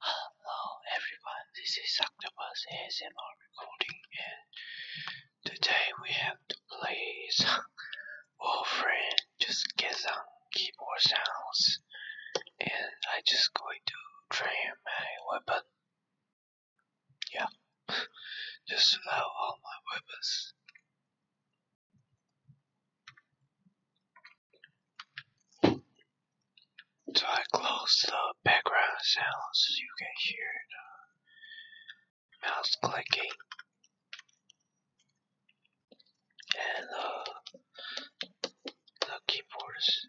Hello everyone, this is Octopus ASMR recording and today we have to play some friend just get some keyboard sounds and I just going to train my weapon. Yeah, just level all my weapons. So I close the background sound so you can hear the mouse clicking and uh, the keyboards.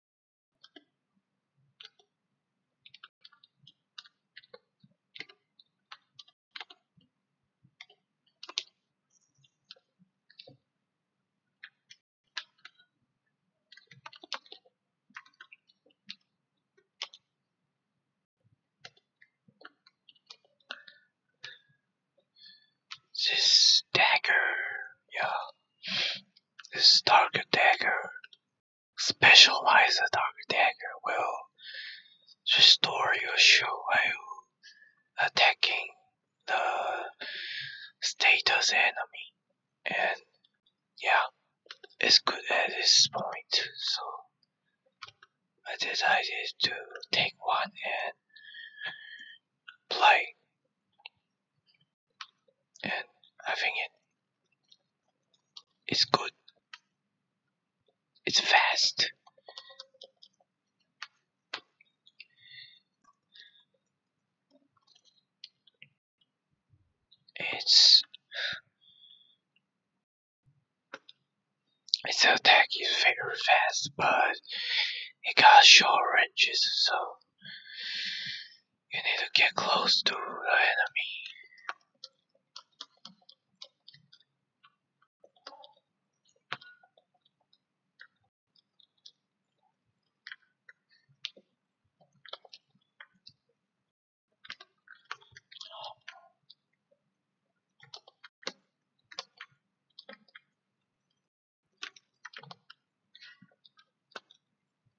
This dagger, yeah. This Dark Dagger. specialized Dark Dagger will restore your shield attacking the status enemy. And yeah, it's good at this point, so I decided to take one and play and having it it's good it's fast it's its attack is very fast but it got short ranges so you need to get close to the enemy.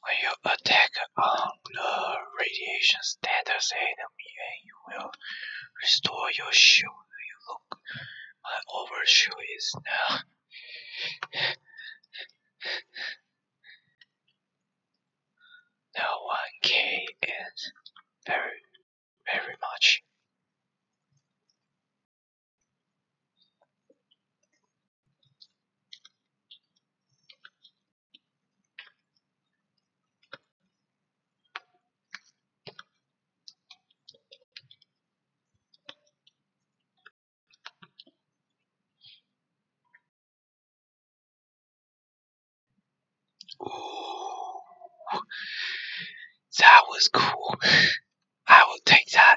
When you attack on the radiation status enemy and you will restore your shield, you look, my overshield is now. now 1k is very very much. Ooh, that was cool. I will take that.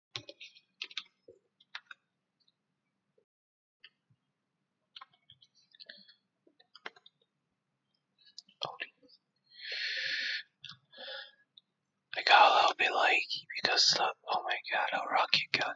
I got a little bit laggy because oh my god, a rocket gun.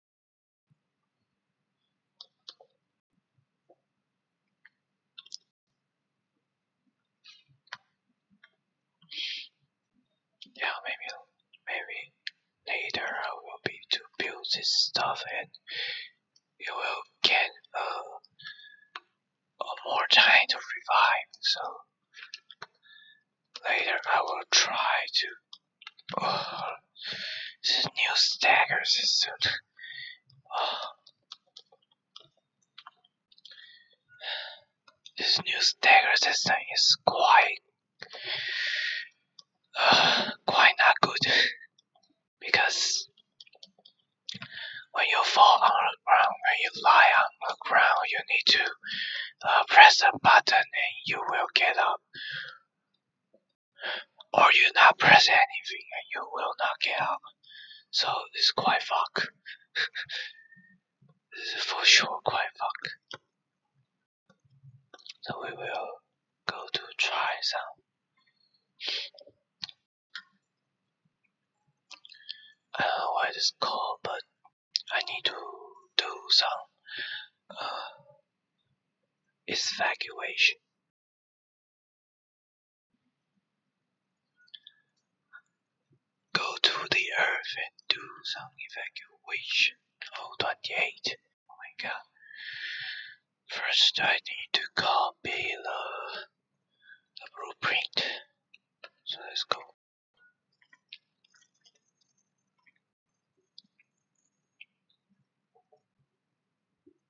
Yeah, maybe maybe later I will be to build this stuff and you will get uh, more time to revive. So later I will try to Oh, this new stagger system. Oh. This new stagger system is quite uh, quite not good because when you fall on the ground, when you lie on the ground, you need to uh, press a button and you will get up or you not press anything and you will not get out. So it's quite fuck. this is for sure quite fuck. So we will go to try some. I don't know why this call, but I need to do some uh, evacuation Go to the earth and do some evacuation. Oh, 28. Oh my god. First, I need to copy the, the blueprint. So let's go.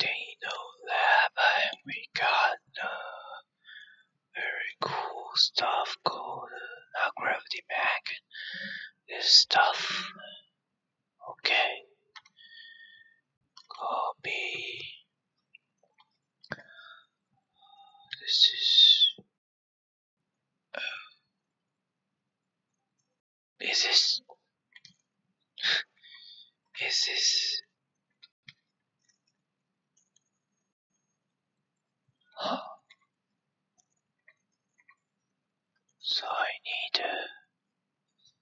They do we got uh, very cool stuff called a gravity Bag. This stuff, okay, copy. This is. Uh, is this? is I need.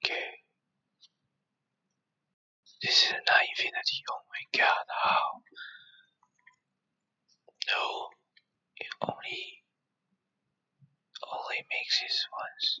Okay. This is not infinity. Oh my god, how? No, it only only makes it once.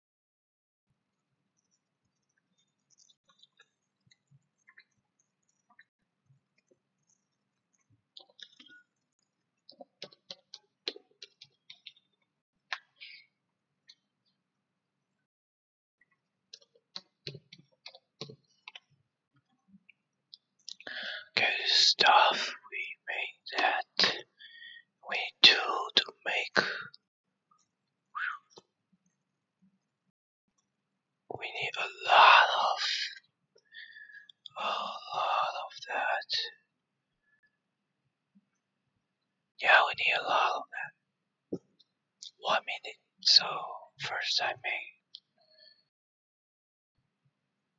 Good stuff, we made that. We do to make we need a lot of a lot of that. Yeah, we need a lot of that. One minute. So first I make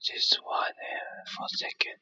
this one and uh, for second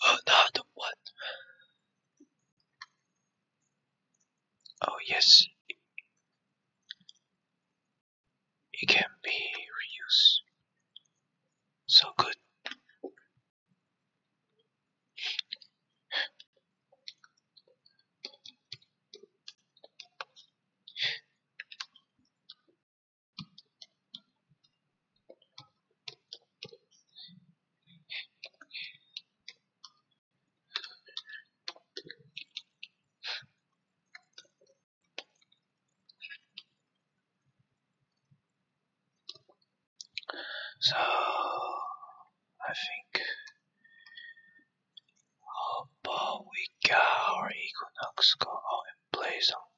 Another oh, one. Oh yes, it can be reused. So good. So I think how about we get our Equinox go out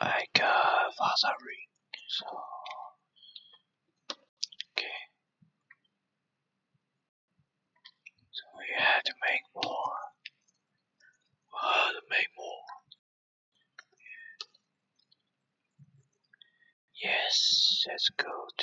like a uh, father ring. So okay, so we had to make more. We had to make more. Yes, that's good.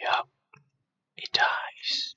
Yup, it dies.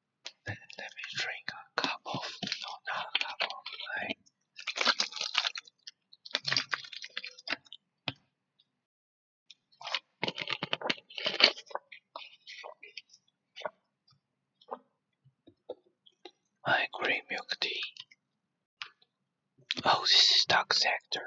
Let me drink a cup of no, not a cup of My green milk tea. Oh, this is dark sector.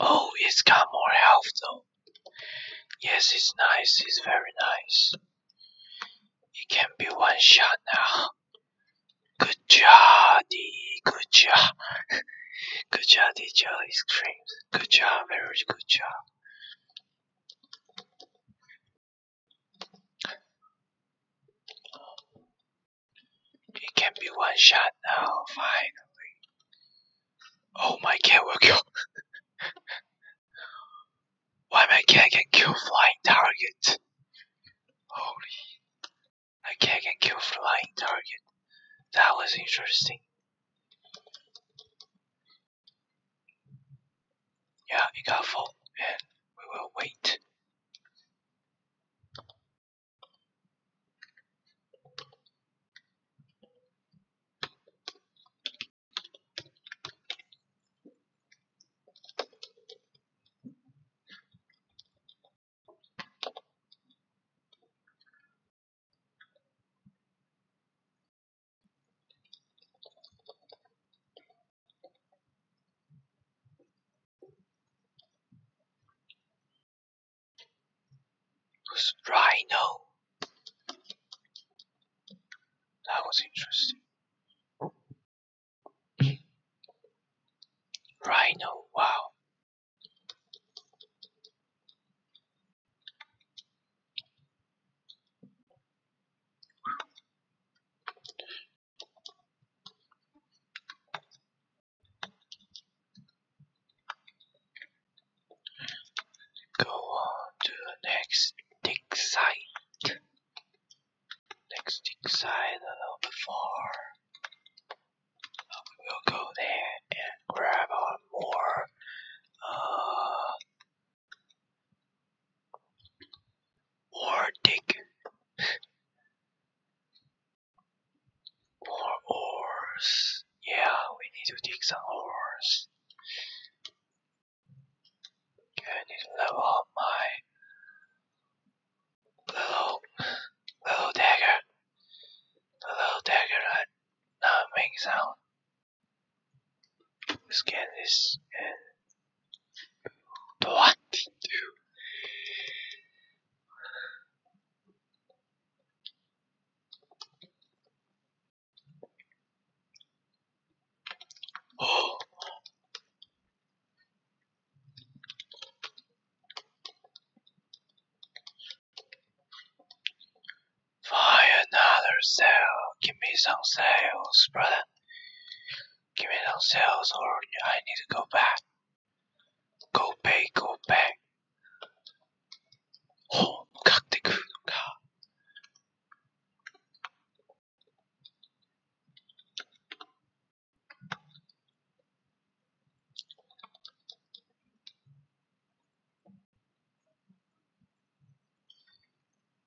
Oh, it's got more health though. Yes, it's nice, it's very nice. It can be one shot now. Good job, D. Good job. good job, D. Joe. Good job, very good job. It can be one shot now, finally. Oh my cat will kill. Why my cat can kill flying target? Holy. My cat can kill flying target. That was interesting. Yeah, it got full, and we will wait was Rhino. That was interesting. Rhino, wow. Go on to the next dig site. Next dig site a little bit We'll go there and grab on more uh, or dig or oars. Yeah, we need to dig some oars. I need to level up my little little dagger. little dagger that not making sound. Scan and twenty two oh Find another sale. Give me some sales, brother. Give me on sales or I need to go back. Go back, go back. Oh, got the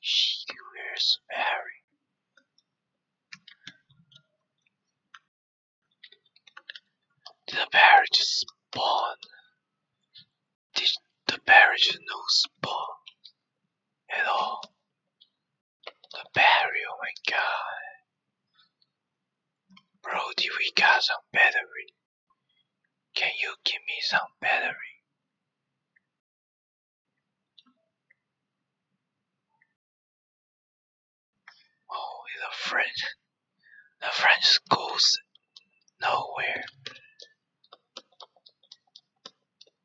She wears a Harry. The parrot spawn. Did the parrot no spawn at all? The parrot, oh my god. Brody, we got some battery. Can you give me some battery? Oh, the French. The French goes nowhere.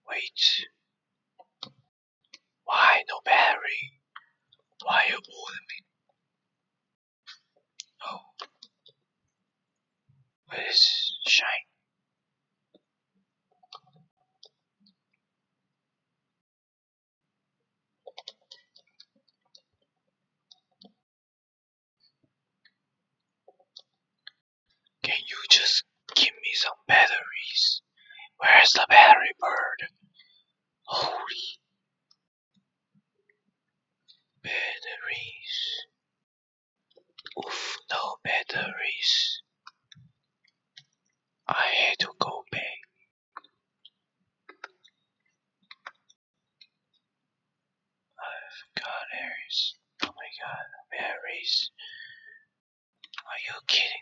Wait. Why no battery? Why you owed Oh. Where is Shine? Can you just give me some batteries? Where's the battery bird? Holy batteries. Oof, no batteries. I had to go back. I've got Aries. Oh my god, Aries. Are you kidding?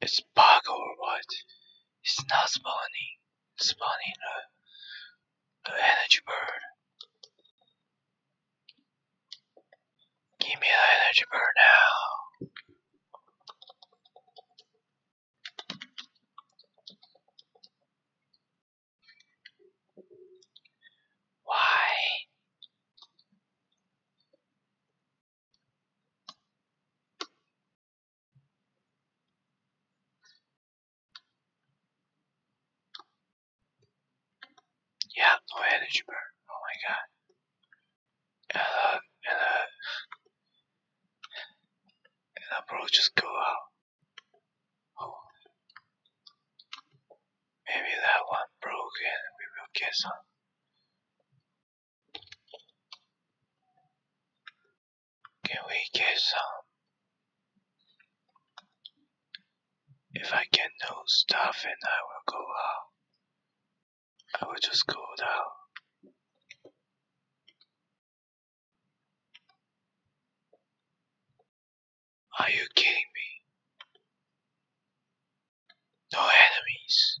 It's black or white. It's not spawning. It's Spawning a, a energy bird. Give me an energy bird now. Why? Yeah, no energy bar. Oh my god. And uh, and uh, and uh, bro, just go out. Oh. Maybe that one broke we will get can we get some? If I get no stuff and I will go out, I will just go out. Are you kidding me? No enemies.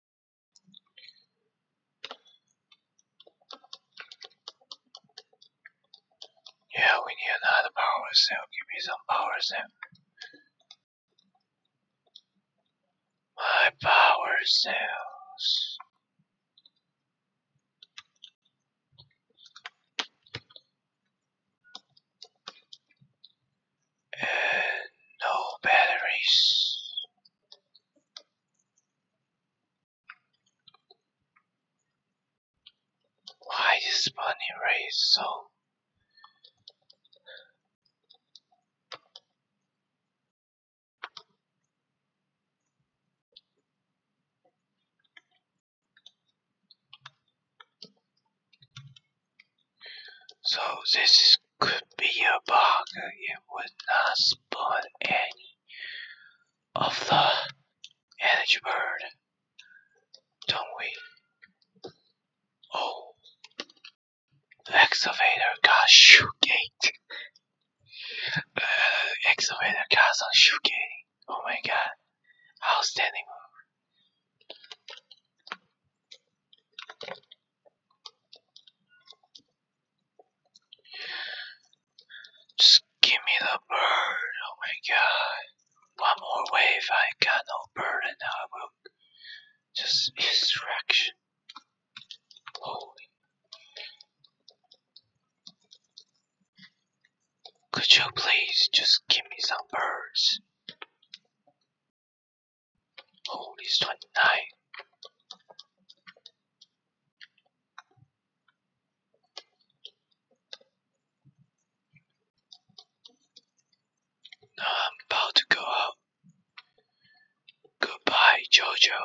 Yeah, we need another power cell. Give me some power cell. My power cells. And no batteries. Why is Bunny Ray so So this could be a bug. It would not spawn any of the energy bird, don't we? Oh, excavator got shoe gate. Uh, excavator got some shoe gate. Oh my god, outstanding move. Just give me the bird. Oh my god. One more wave. I got no it and I will. Just distraction. Holy. Could you please just give me some birds? Holy, it's 29. I'm about to go out. Goodbye, Jojo.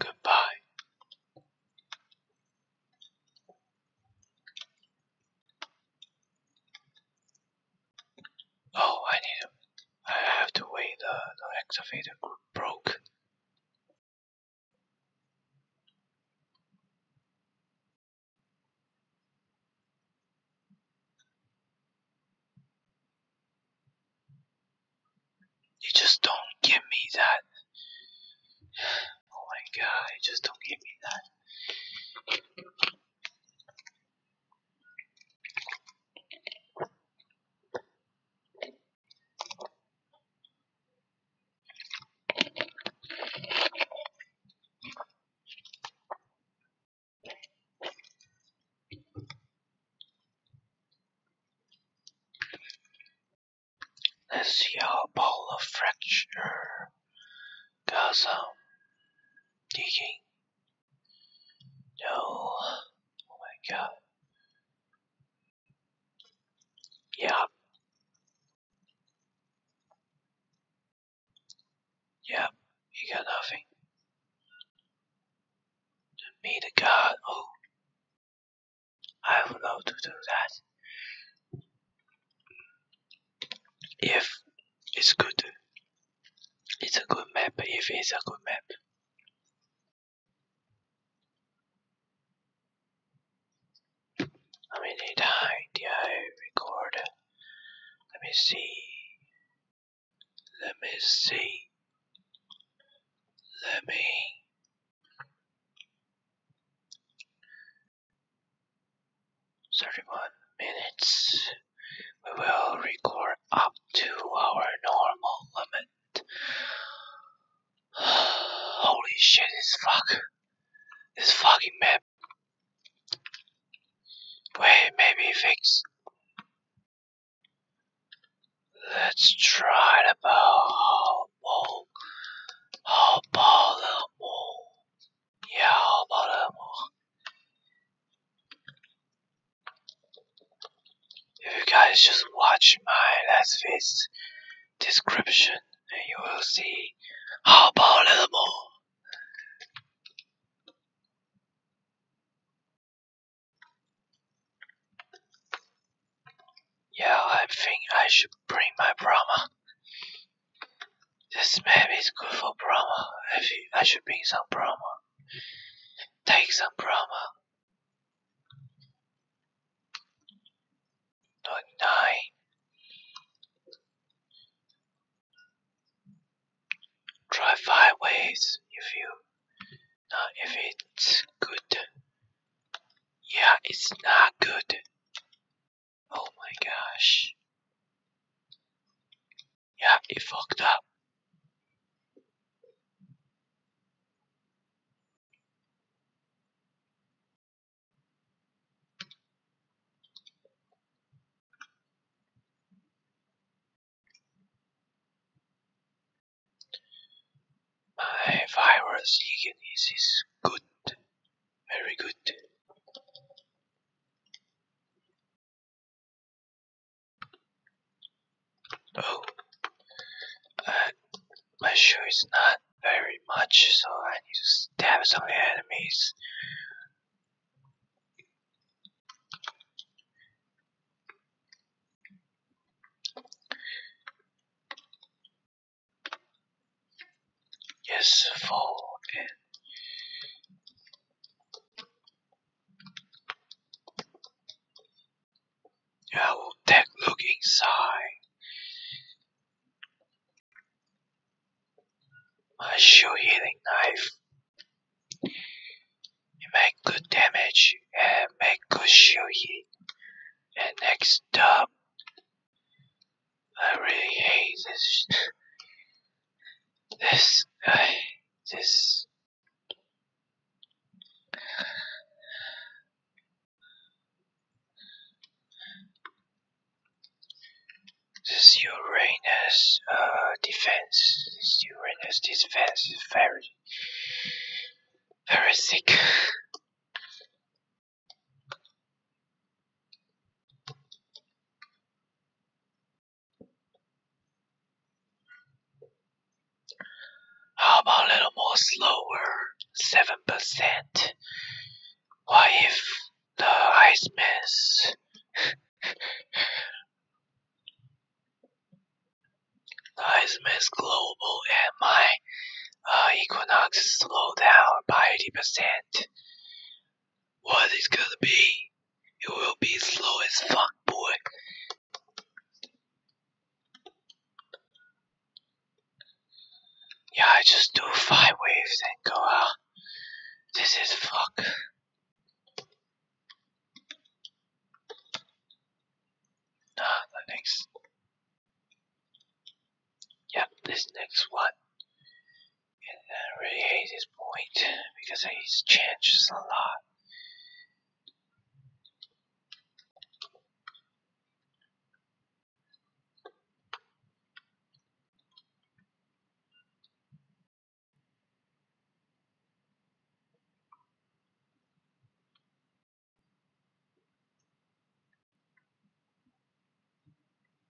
Goodbye. Oh, I need I have to wait. The, the excavator broke. You just don't give me that. Oh my god, you just don't give me that. Let's see how Paula fracture Got some digging. No. Oh my god. Yeah. yeah. you got nothing. meet a god, oh. I would love to do that if it's good it's a good map if it's a good map how many times did I record let me see let me see let me thirty-one minutes. We will record up to our normal limit. Holy shit, this fuck. This fucking map. Wait, maybe fix. Let's try the bow. How about the mole? Yeah, a little more. If you guys just watch my last video's description you will see about a little more. Yeah, I think I should bring my Brahma. This map is good for Brahma. I, I should bring some Brahma. Take some Brahma. Not nine. Try five ways if you. Now uh, if it's good. Yeah, it's not good. Oh my gosh. Yep, it fucked up. My virus Egan is good, very good. Oh, my shoe is not very much, so I need to stab some enemies. Yes, four and I will take a look inside. My shoe healing knife. It make good damage and make good shield healing. And next up I really hate this. This guy. This. This Uranus uh, defense. Uranus defense is very, very sick. How about a little more slower? 7%. What if the ice mess? ice mess global and my uh, equinox slow down by 80%. What is gonna be? It will be slow as fuck, boy. Yeah, I just do five waves and go out. This is fuck. Nah, the next. Yep, this next one and I really hate this point because his changes a lot.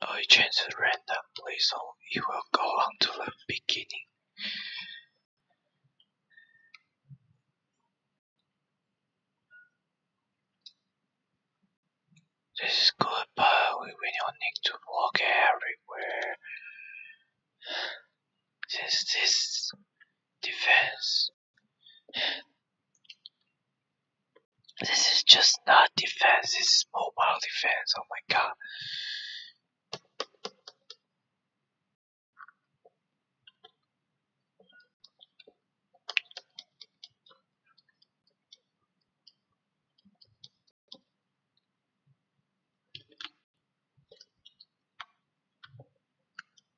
I change the randomly so it will go on to the beginning. This is good, but we will need to walk everywhere. Since this defense this is just not defense, this is mobile defense, oh my god.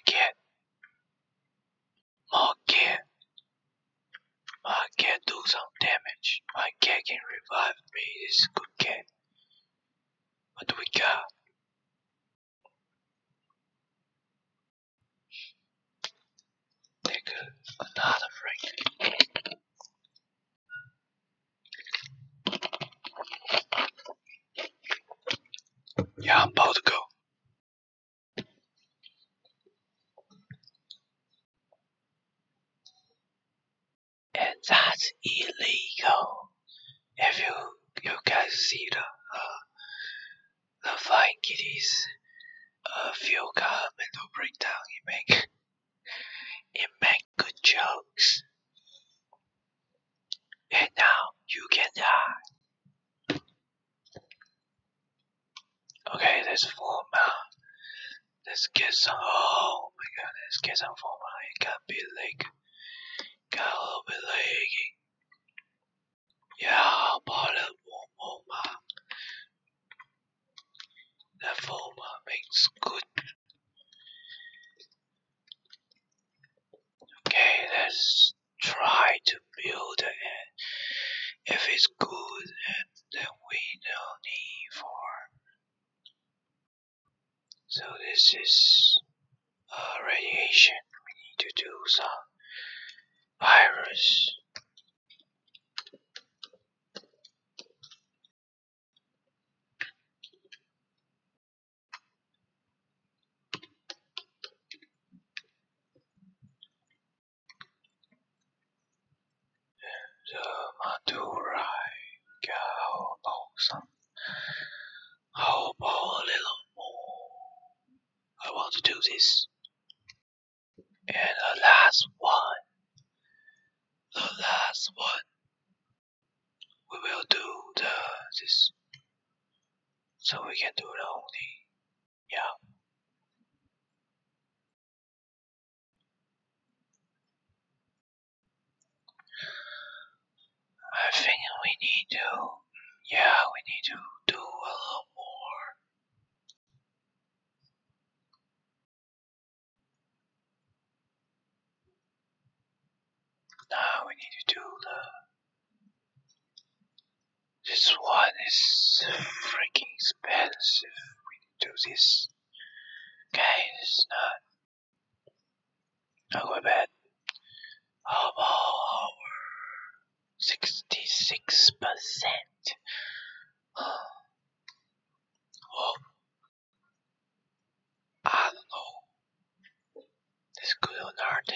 Again, again, I can do some damage. I cat can revive me. It's a good cat. What do we got? There another Franklin. Yeah, I'm about to go. And that's illegal. If you you guys see the uh, the fine kitties, a few car mental breakdown. It make it make good jokes. And now you can die. Okay, that's four Let's get some. Oh my god, get some formula. It got a bit like, got a little bit leggy. Yeah, bother Woma. The former makes good. Okay, let's try to build it. If it's good, then we don't need for. So this is a uh, radiation. We need to do some the Madurai cow awesome. How about a little more? I want to do this. And the last one, the last one, we will do the this, so we can do the only, yeah. I think we need to, yeah, we need to do a little more. Now we need to do This one is freaking expensive. We need to do this. Okay, this is not. Not quite bad. How about our 66 percent. Oh, I don't know. This good or not?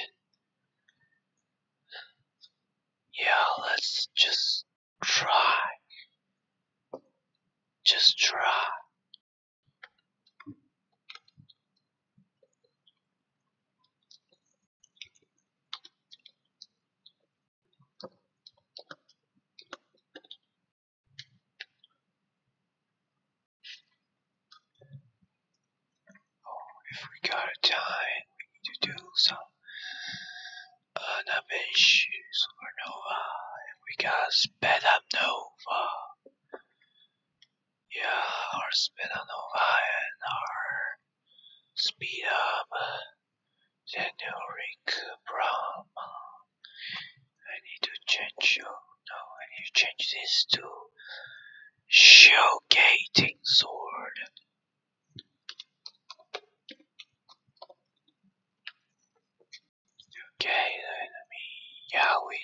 Yeah, let's just try. Just try if we got a time, we need to do some Anamesh Supernova. And we got Spedanova. Yeah, our Spedanova and our Speed up, generic Brahman. I need to change you. No, I need to change this to showgating sword. Okay, let me Yahweh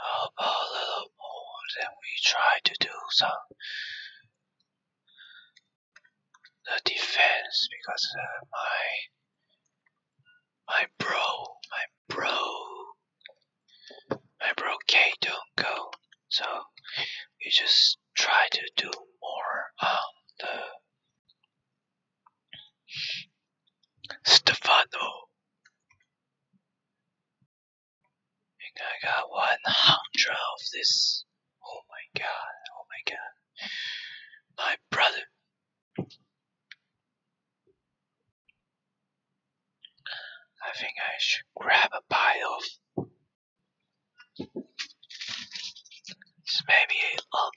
a little more than we try to do some the defense because uh, my my bro my bro my bro K don't go so we just try to do more on um, the Stefano. I got 100 of this. Oh my god, oh my god. My brother. I think I should grab a bite of. It's maybe a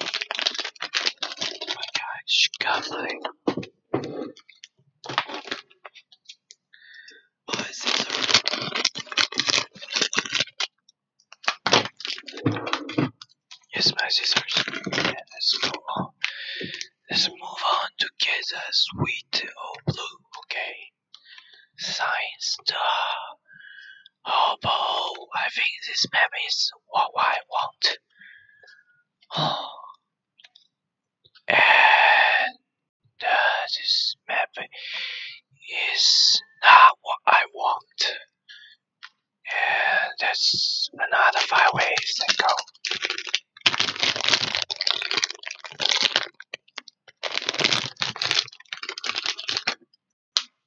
Oh my gosh, got mine. Oh, is this a... Yes, my scissors. let's go on. Let's move on to get the sweet old blue, okay? Sign star. Oh, boy, I think this map is what I want and this map is not what I want. And that's another five ways to go.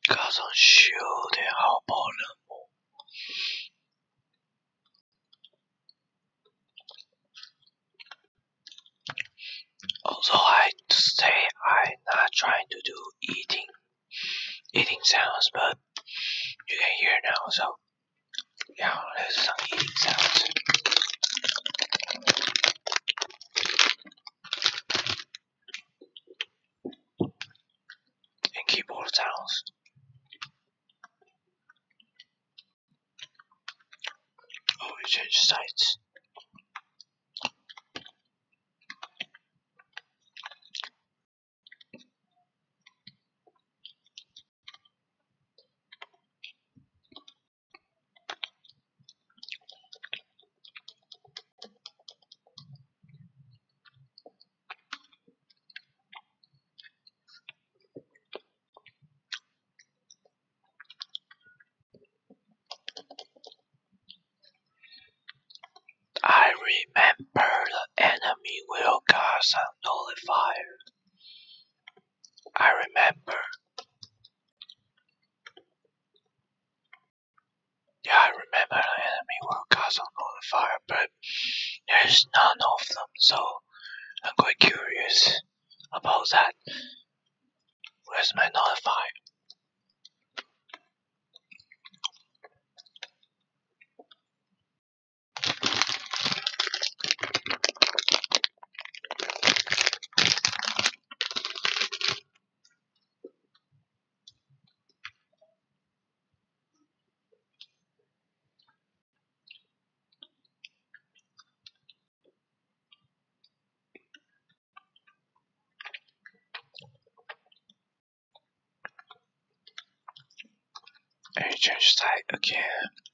加上烧的好保冷膜。Also, I say I'm not trying to do eating eating sounds, but you can hear now. So, yeah, let some eating sounds and keyboard tiles. Oh, we change sides. I remember the enemy will cast a nullifier. I remember. Yeah, I remember the enemy were cast on fire, but there's none of them, so I'm quite curious about that. Where's my notify? I change site again.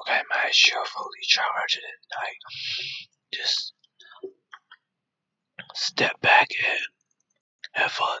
Okay, my fully charged and I just step back and have fun.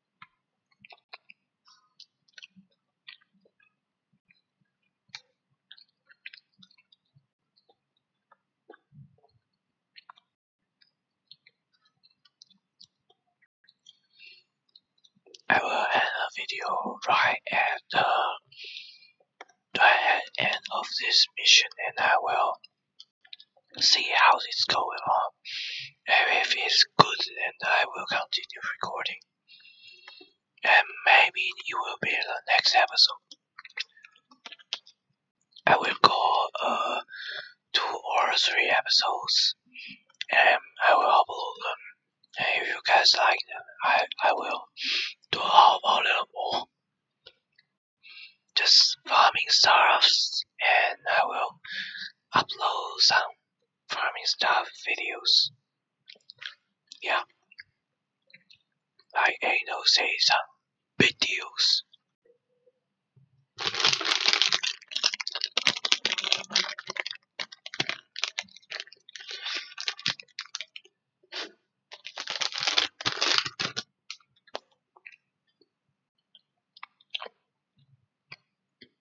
I will end a video right at the right end of this mission and I will see how it's going on. And if it's good, then I will continue recording. And maybe you will be in the next episode. I will go uh, two or three episodes and I will upload them. And if you guys like them, I, I will do a little more. Just farming stuffs and I will upload some farming stuff videos. Yeah. Like Ano say some videos.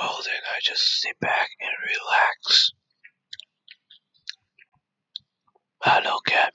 Well then I just sit back and relax. Hello, cat.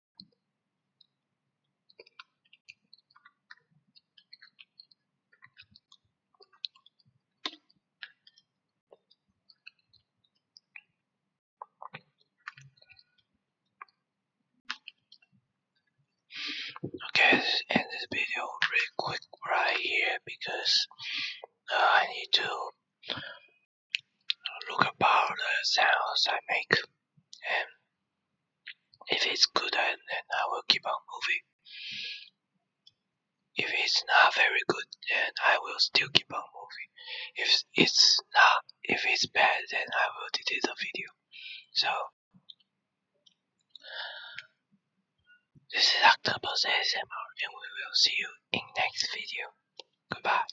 Okay, let's end this video really quick right here because uh, I need to look about the sounds I make, and if it's good, then I will keep on moving. If it's not very good, then I will still keep on moving. If it's not, if it's bad, then I will delete the video. So, this is Octopus ASMR, and we will see you in next video. Goodbye.